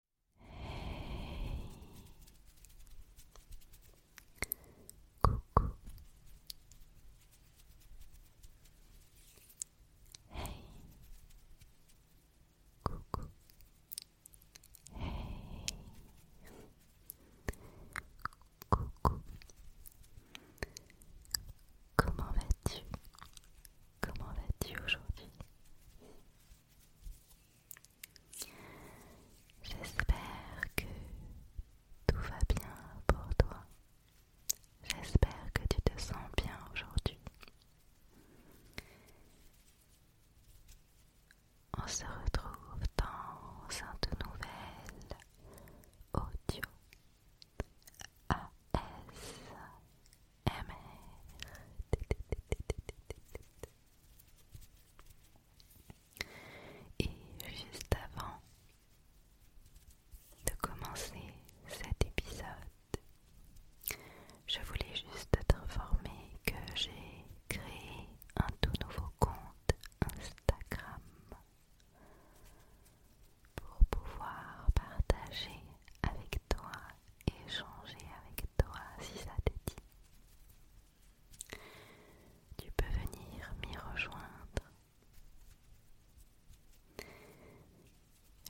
Hey. Coucou. Comment vas-tu Comment vas-tu aujourd'hui J'espère que tout va bien pour toi. J'espère que tu te sens bien aujourd'hui. On se retrouve dans un tout nouvel audio A.S. Et juste avant de commencer cet épisode, je voulais juste t'informer que j'ai créé un tout nouveau compte Instagram pour pouvoir partager avec toi échanger avec toi si ça te dit. Tu peux venir m'y rejoindre.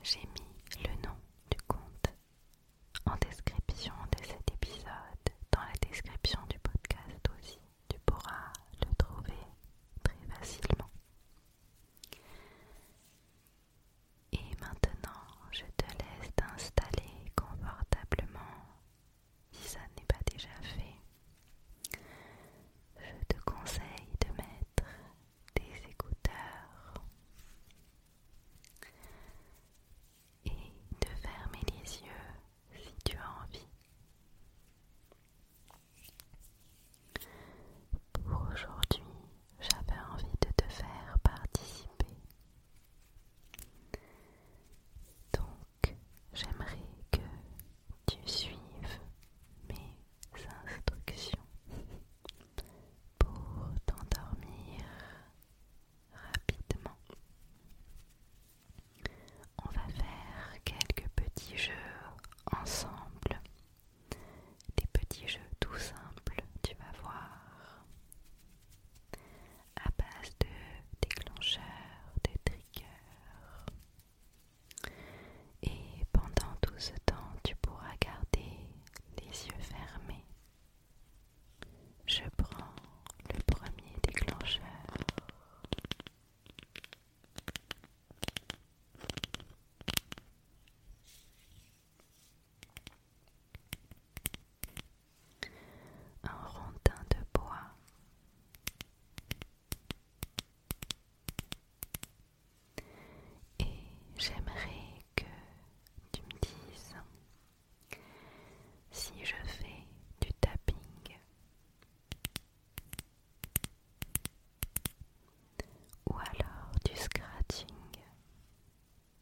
J'ai mis le nom du compte en description de cet épisode, dans la description du podcast aussi. Tu pourras le trouver très facilement. Et maintenant, je te laisse t'installer confortablement si ça n'est pas déjà fait. Je te conseille de mettre des écouteurs et de fermer les yeux si tu as envie. Pour aujourd'hui, j'avais envie de te faire participer. Donc, j'aimerais que tu suives mes instructions pour t'endormir rapidement. On va faire quelques petits jeux ensemble des petits jeux tout simples, tu vas voir, à base de déclencheurs, de triggers. Et pendant tout ce temps, tu pourras garder les yeux fermés. Je prends le premier déclencheur un rondin de bois, et j'aimerais que tu me dises si je fais du tapping ou alors du scratching.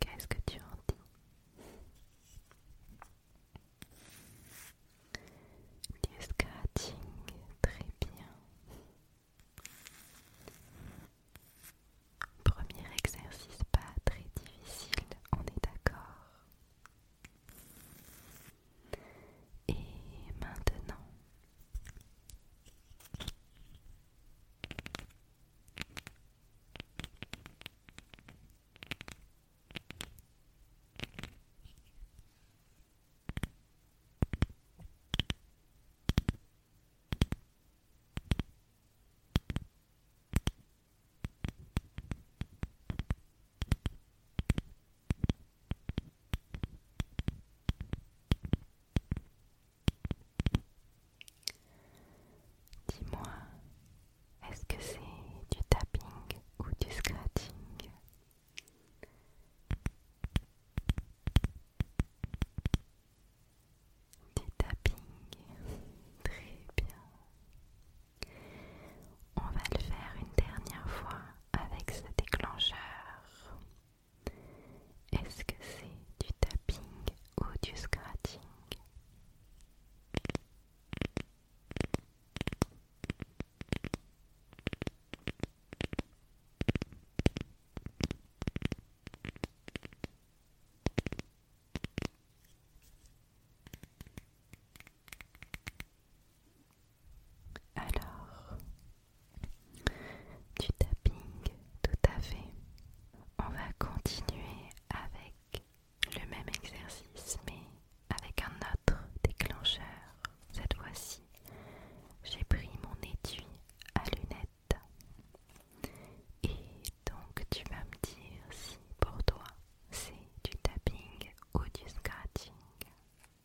Qu'est-ce que tu en dis scratching, très bien. Premier exercice pas très difficile, on est d'accord. Et maintenant, Dis-moi, est-ce que c'est du tapping ou du scratching Du tapping, très bien. On va le faire une dernière fois avec ce déclencheur. Est-ce que c'est du tapping ou du scratching alors, du tapping, tout à fait. On va continuer avec le même exercice, mais avec un autre déclencheur. Cette fois-ci, j'ai pris mon étui à lunettes. Et donc, tu vas me dire si pour toi c'est du tapping ou du scratching.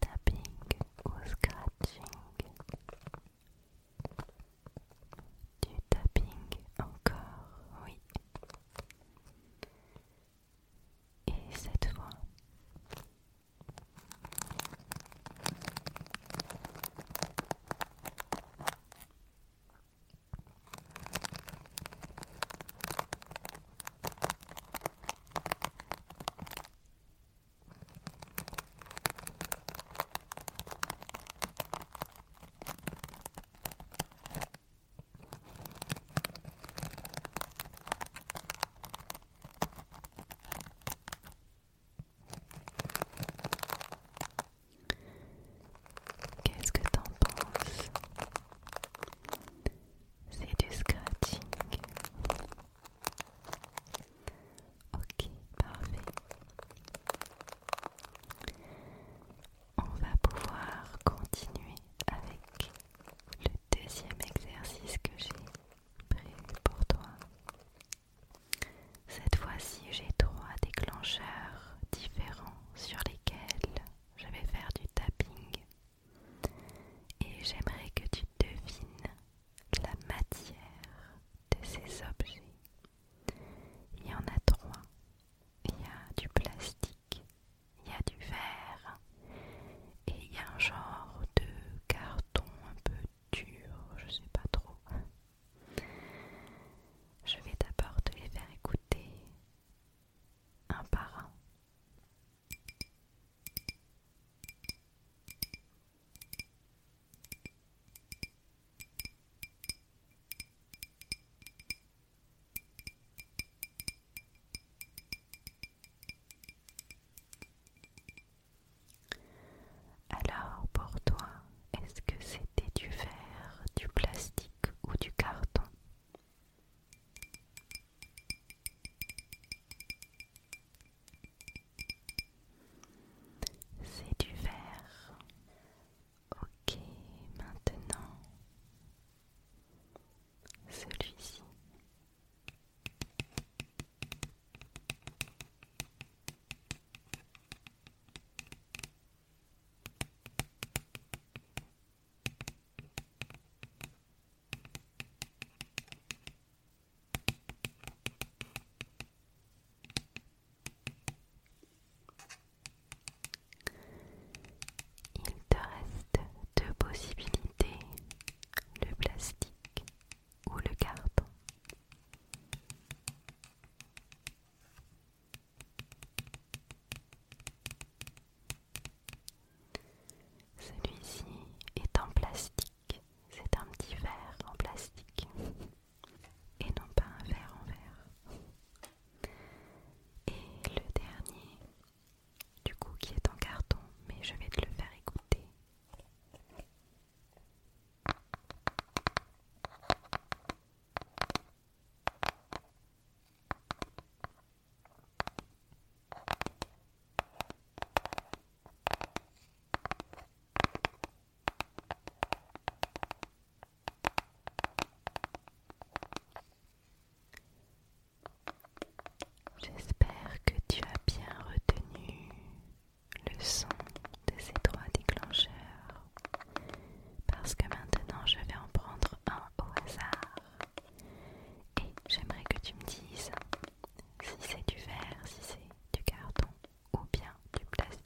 tapping ou scratching du tapping encore oui et cette fois Qu'est-ce que t'en penses c'est du scratching. Ok, parfait. On va pouvoir continuer avec le deuxième exercice que j'ai pris pour toi. Cette fois-ci, j'ai trois déclencheurs différents sur lesquels je vais faire du tapping. Et j'aimerais que tu devines la matière de ces objets. Il y en a trois. Il y a du plastique, il y a du verre et il y a un genre de carton un peu dur, je sais pas trop. Je vais d'abord te les faire écouter un par un. Alors pour toi, est-ce que c'était du verre, du plastique ou du carton c'est du verre. Ok, maintenant celui-ci. Il te reste deux possibilités, le plastique ou le carton. Celui-ci est en plastique, c'est un petit verre en plastique et non pas un verre en verre. Et le dernier, du coup qui est en carton, mais je vais te le faire écouter. J'espère que tu as bien retenu le son de ces trois déclencheurs parce que maintenant je vais en prendre un au hasard. Et j'aimerais que tu me dises si c'est du verre, si c'est du carton ou bien du plastique.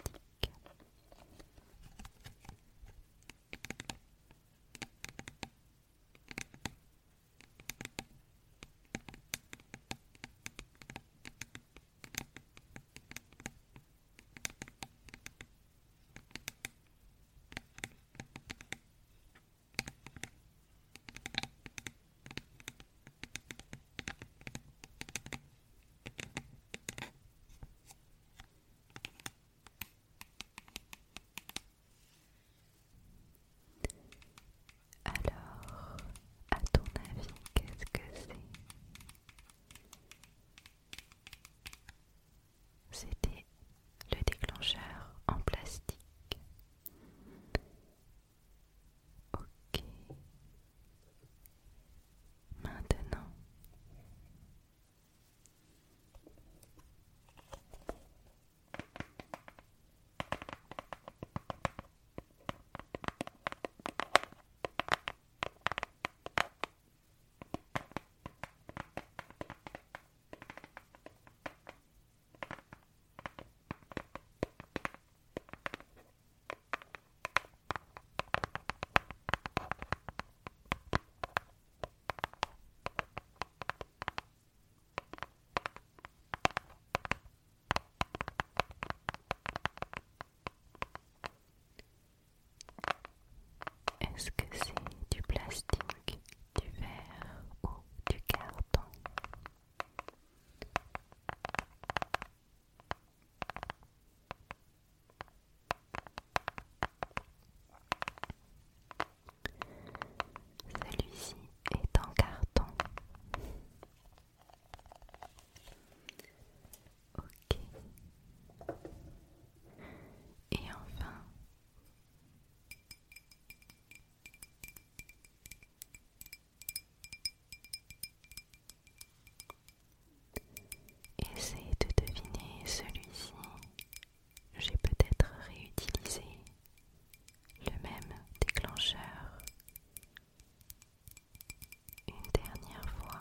Alors, à ton avis, qu'est-ce que c'est c'était le déclencheur en plastique. Ok. Maintenant, est-ce que c'est du plastique du verre ou du carton. Celui-ci est en carton. Ok. Et enfin, Essayez de deviner celui-ci. J'ai peut-être réutilisé le même déclencheur une dernière fois.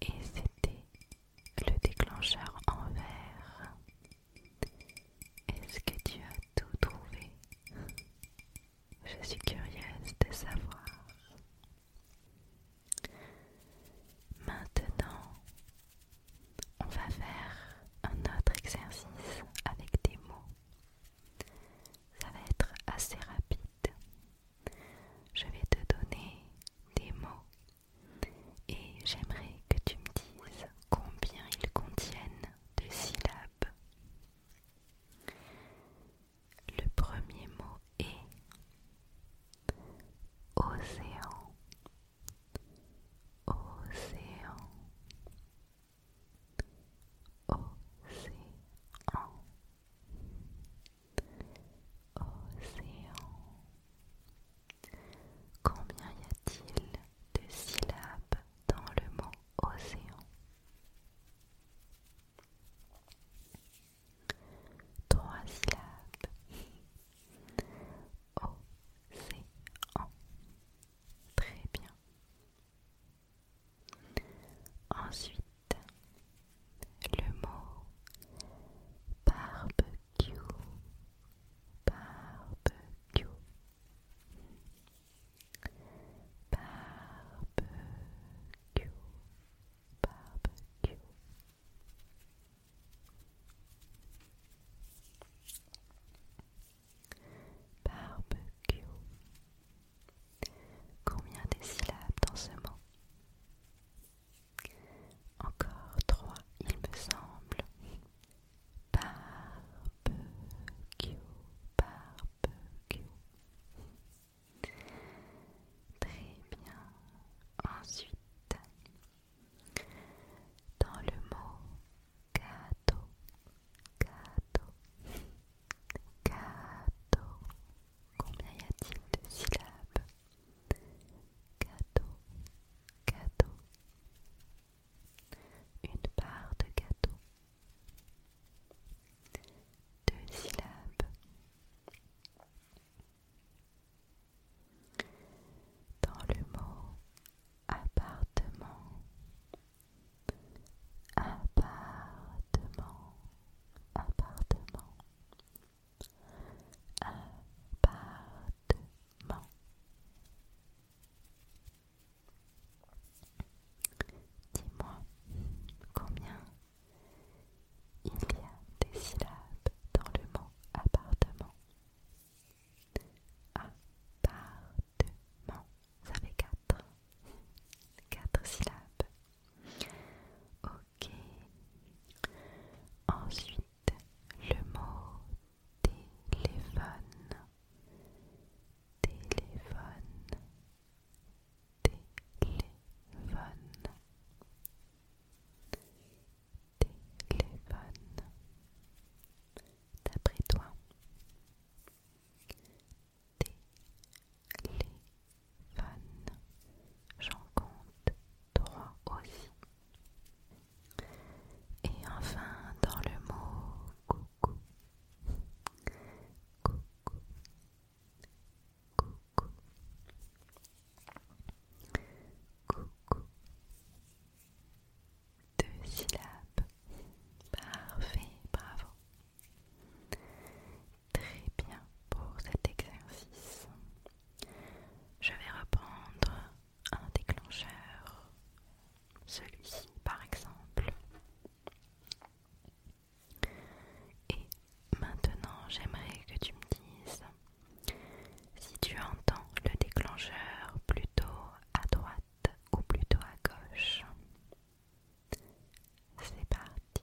Et c'était le déclencheur en verre. Est-ce que tu as tout trouvé Je suis curieuse de savoir. Maintenant, on va faire un autre exercice avec des mots. Ça va être assez rapide. Je vais te donner des mots et j'aimerais que tu me dises combien ils contiennent de syllabes. Le premier mot est océan. Océan. Océan. Océan. Combien y a-t-il de syllabes dans le mot océan Trois syllabes. Océan. Très bien. Ensuite, le mot barbecue, barbecue, barbecue, barbecue. Combien des syllabes dans ce mot encore trois, il me semble. Barbecue, barbecue. Très bien. Ensuite, dans le mot cadeau, cadeau, cadeau, combien y a-t-il de syllabes Gâteau, gâteau. Une part de gâteau. Deux syllabes. Dans le mot appartement. Appartement. Appartement appartement Dis-moi combien il y a des syllabes dans le mot appartement Appartement, ça fait quatre, quatre syllabes Ok. Ensuite, le mot téléphone. Téléphone. Téléphone. Téléphone. D'après toi. Téléphone. J'en compte trois aussi. Et enfin, dans le mot coucou. Coucou. Coucou. Coucou. Deux syllabes. Parfait, bravo très bien pour cet exercice. Je vais reprendre un déclencheur, celui-ci par exemple. Et maintenant, j'aimerais que tu me dises si tu entends le déclencheur plutôt à droite ou plutôt à gauche. C'est parti.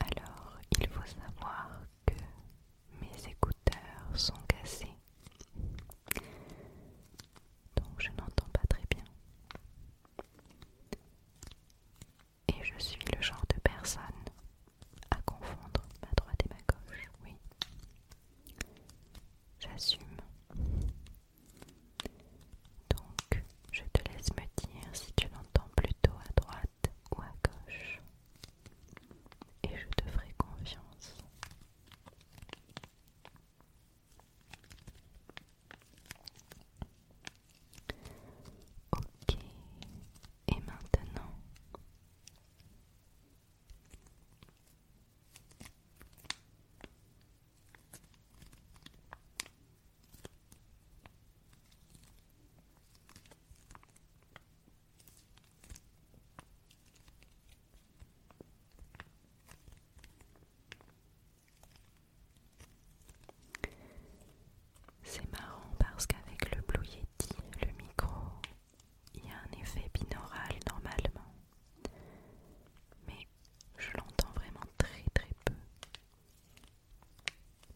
Alors, il faut savoir que mes écouteurs sont cassés. Donc, je n'entends pas très bien. Et je suis le genre de personne à confondre ma droite et ma gauche, oui. J'assume. Donc, je te laisse me dire si tu l'entends plutôt à droite ou à gauche. Et je te ferai confiance. Ok. Et maintenant... C'est marrant parce qu'avec le Blue Yeti, le micro, il y a un effet binaural normalement. Mais je l'entends vraiment très très peu.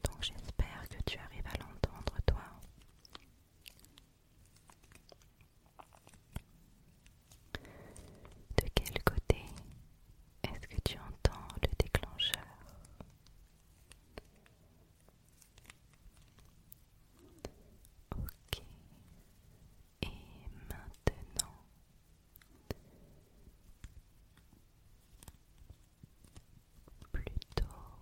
Donc j'espère que tu arrives à l'entendre toi. De quel côté est-ce que tu entends le déclencheur Ok. Et maintenant, plutôt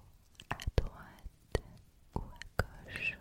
à droite ou à gauche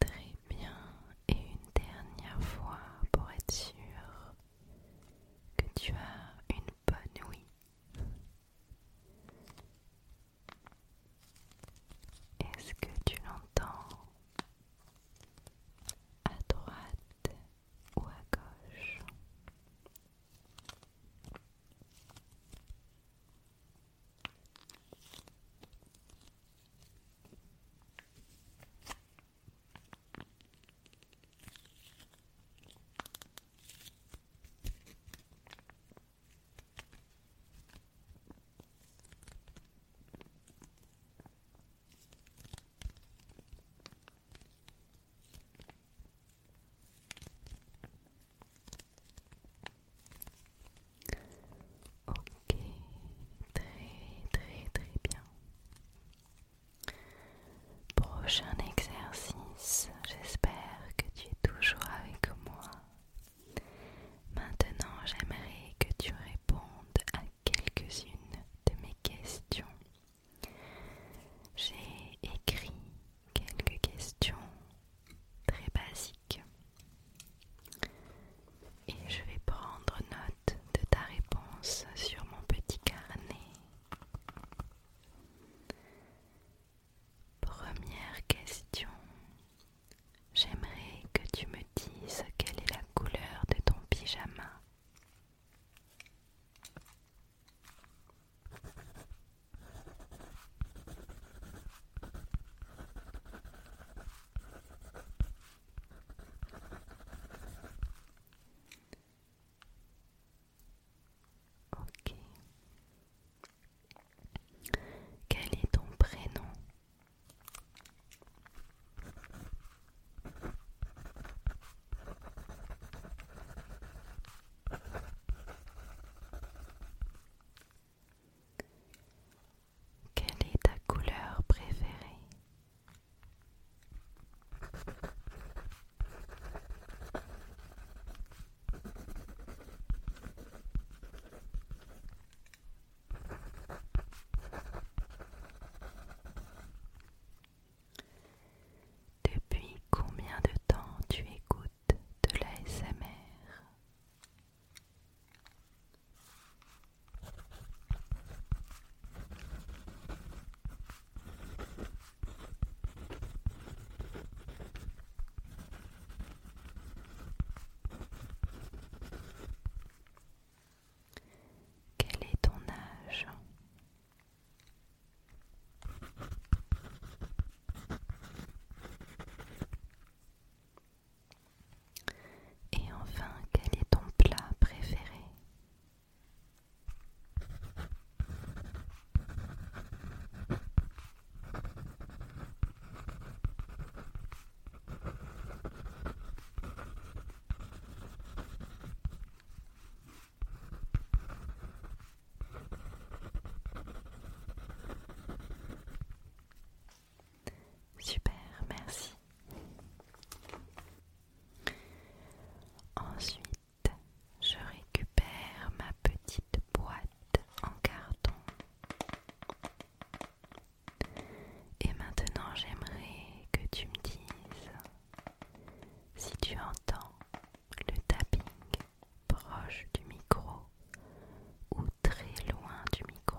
Très bien, et une dernière fois pour être sûr que tu as une bonne ouïe. Est-ce que tu l'entends à droite ou à gauche. Ok, très très très bien. Prochain exercice, j'espère que tu es toujours avec moi. Maintenant, j'aimerais que tu à quelques-unes de mes questions. J'ai écrit quelques questions très basiques et je vais prendre note de ta réponse sur mon petit carnet. Première question. J'aimerais que tu me quelle est la couleur de ton pyjama. Ok. Quel est ton prénom quelle est ta couleur préférée depuis combien de temps tu écoutes de l'ASMR quel est ton âge Et enfin, quel est ton plat préféré Super, merci. Ensuite, je récupère ma petite boîte en carton et maintenant, j'aimerais que tu me dises si tu entends le tapping proche du micro ou très loin du micro.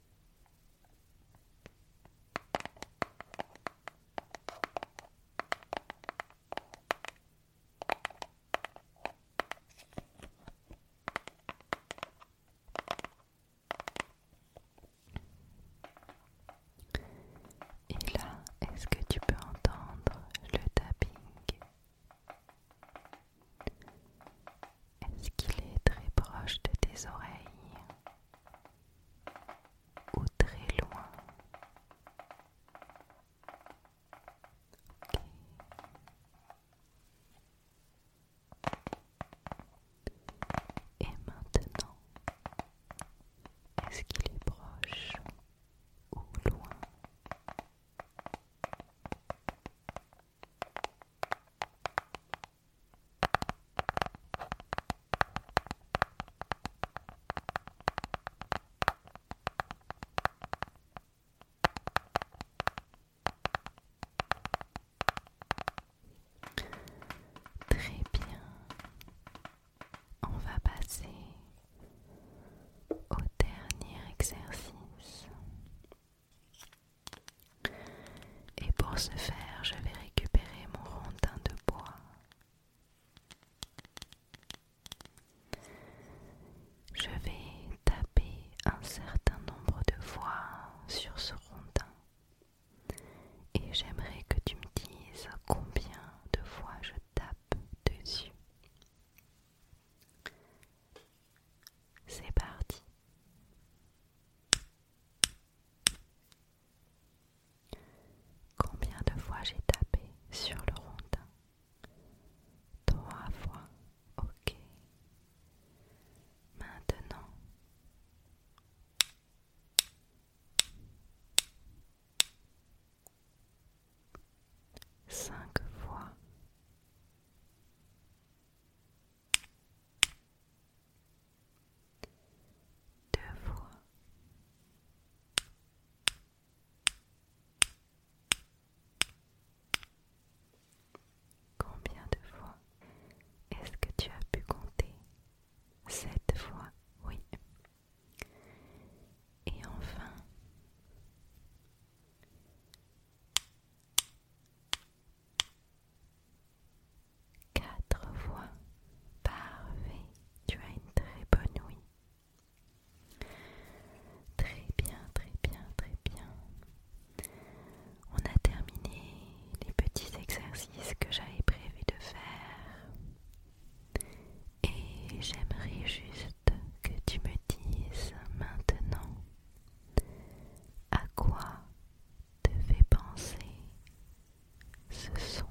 Et là, est-ce que tu peux entendre le tapping Est-ce qu'il est très proche de tes oreilles ou très loin. Et maintenant, est-ce qu'il est proche ou loin Très bien. On va passer au dernier exercice. Et pour ce faire, je vais récupérer mon rondin de bois. Je vais taper un certain nombre de fois sur ce rondin et j'aimerais que tu me dises combien de fois je tape dessus. C'est parti. Combien de fois j'ai tapé sur le rondin Trois fois, ok. Maintenant, cinq fois deux fois, combien de fois est-ce que tu as pu compter Sept fois, oui. Et enfin, Quatre fois. V, Tu as une très bonne ouïe. Très bien, très bien, très bien. On a terminé les petits exercices que j'avais prévu de faire. Et j'aimerais juste que tu me dises maintenant à quoi te fait penser ce son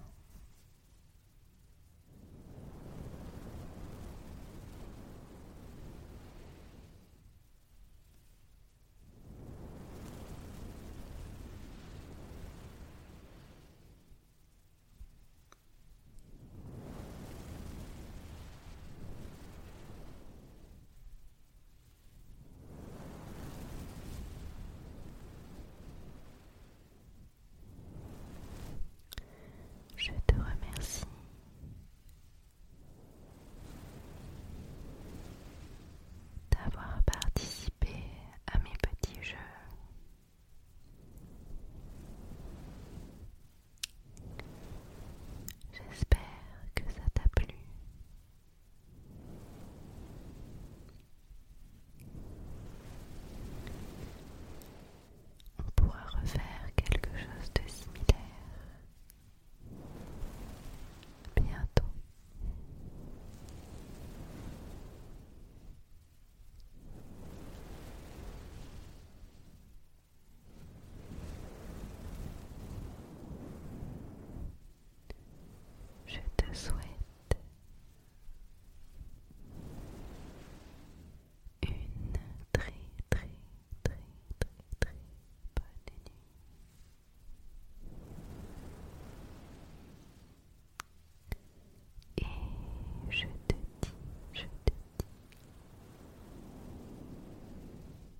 je te remercie. D'avoir participé à mes petits jeux. J'espère que ça t'a plu. On pourra refaire quelque chose de similaire bientôt. Je te souhaite une très très très très très bonne nuit. Et je te dis, je te dis